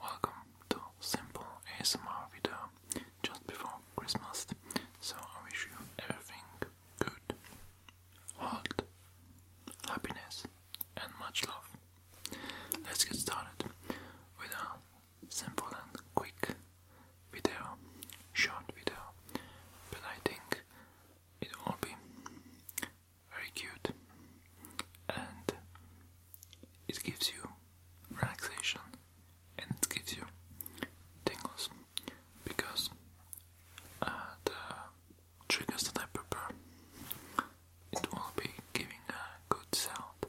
Welcome to simple ASMR video just before Christmas, so I wish you everything good, health, happiness, and much love. Let's get started with a simple and quick video, short video, but I think it will be very cute and it gives you relaxation and it gives you tingles because uh, the triggers that I prepare it will be giving a good sound.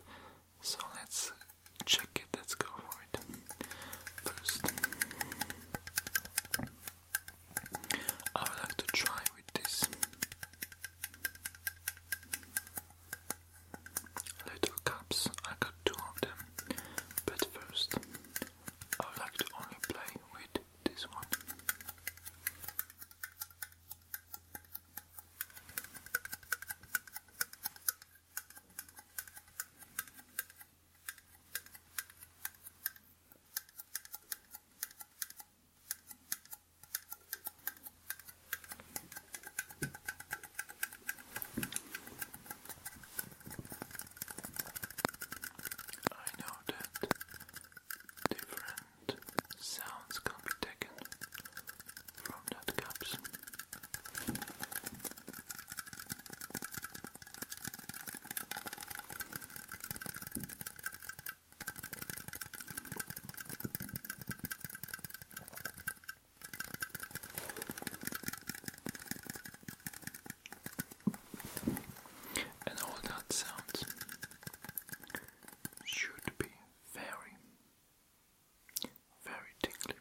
So let's check it, let's go for it first. I would like to try with this little cups. I got two of them, but first I would like to only play with this one. I know that different sounds can be taken from that cups. And all that sounds should be very, very tickly.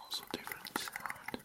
Also, different sound.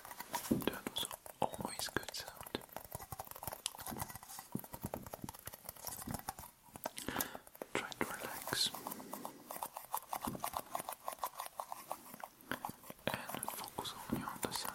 That was always good sound. Try to relax and focus only on the sound.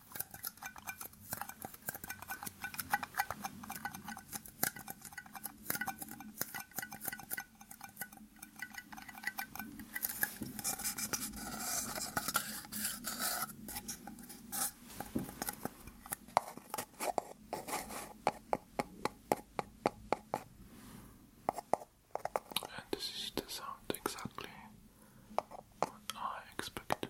And this is the sound exactly what I expected.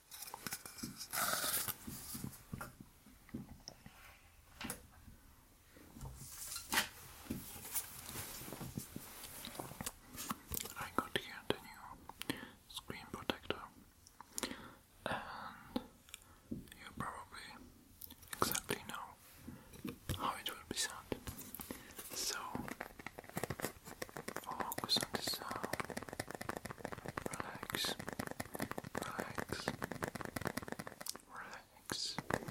I got here the new screen protector, and you probably exactly know how it will be sound. So, Focus on the sound. Relax. Relax. Relax. Relax.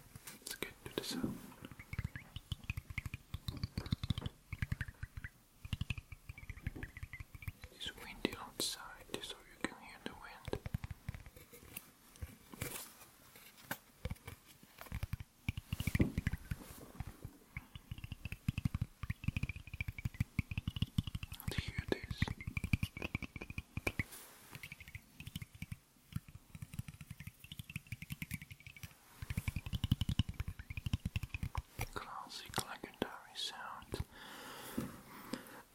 Let's get to the sound. It's windy outside, so you can hear the wind. And hear this. Classic like sound,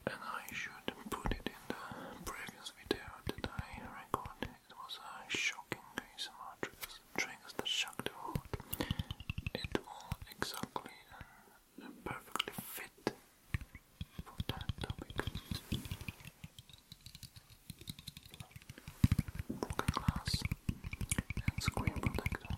and I should put it in the previous video that I recorded. It was a shocking ASMR triggers, that shocked the world. It all exactly perfectly fit for that topic. Broken glass and screen protector.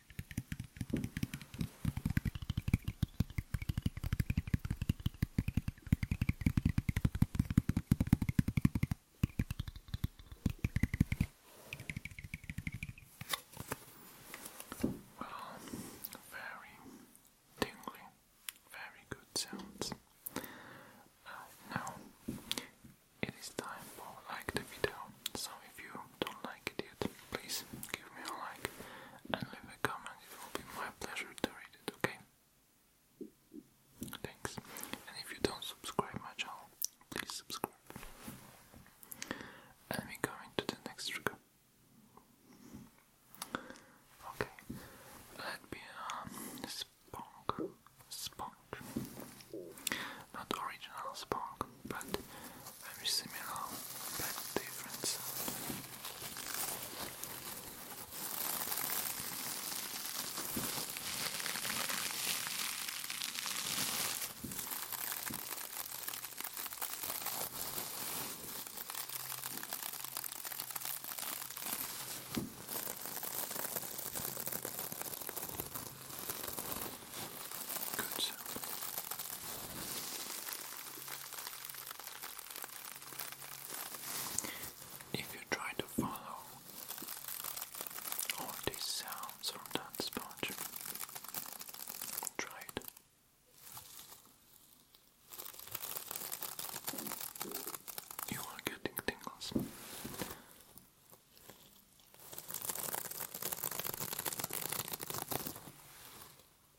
Well, very tingly, very good sounds. Uh, now it is time for like the video. So if you don't like it yet, please give me a like and leave a comment. It will be my pleasure to read it, okay? Thanks. And if you don't subscribe my channel, please subscribe. And we go into the next trigger. Okay, let me a uh, sponge, not original sponge, dog, but very similar but different sound. Good. If you try to follow all these sounds from try it. You are getting tingles.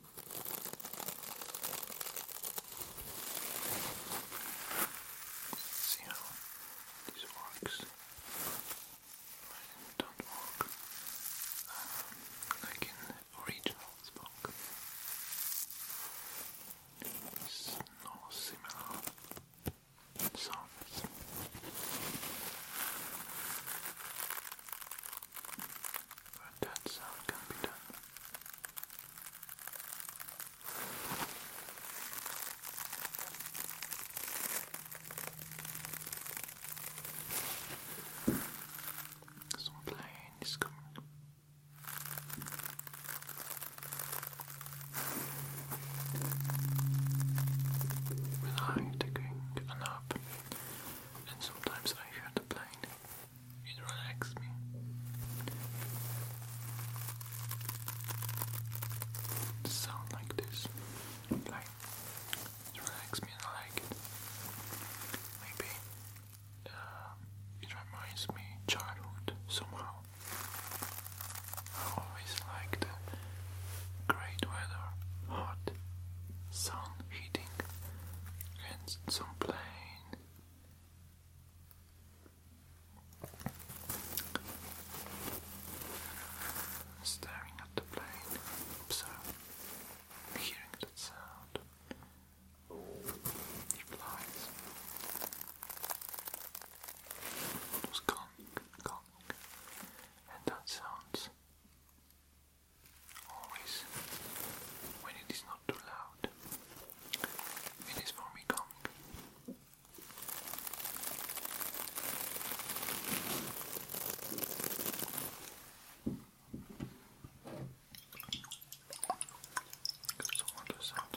See how this works. don't work um, like in original Spock. no similar sounds. But that sound can be done. Some plane is coming. When I'm a nap, and sometimes I hear the plane. It relaxes me. The sound like this, like it relaxes me I like it. Maybe uh, it reminds me childhood somehow. I always like great weather, hot sun heating, and some plane Staring at the plane, observing, hearing that sound. He flies. It was gong, gong, and that sounds always when it is not too loud. It is for me calming. Because I want sound.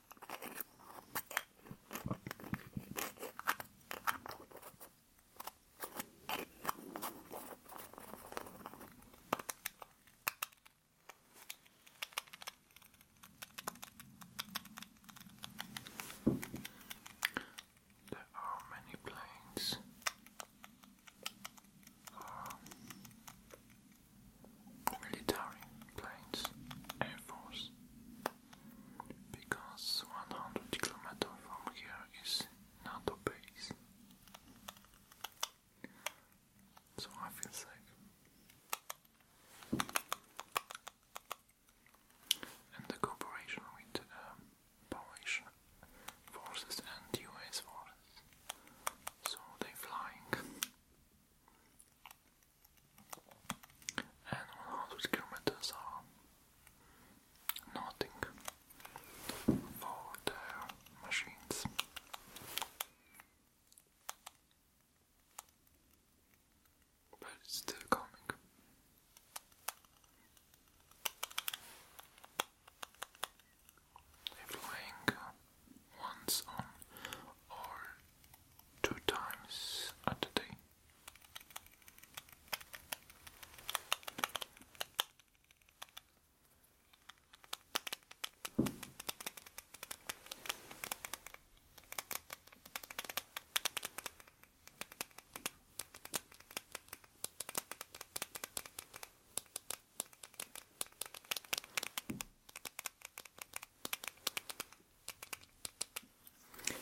There are many planes. Um, military planes, Air Force, because 100 kilometers from here is NATO base. So I feel safe. And the cooperation with Polish uh, forces and US forces. So they flying and 100 kilometers are nothing for their machines. But it's still coming. They're flying once on or two times a day.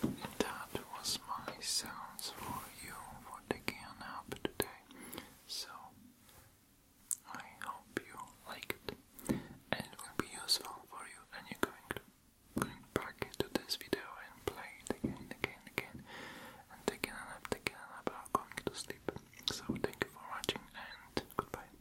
That was my sounds for you for taking up today. So I hope you like it and it will be useful for you and you're going to going back into this video and play it again and again and again and taking an up, to sleep. So thank you for watching and goodbye.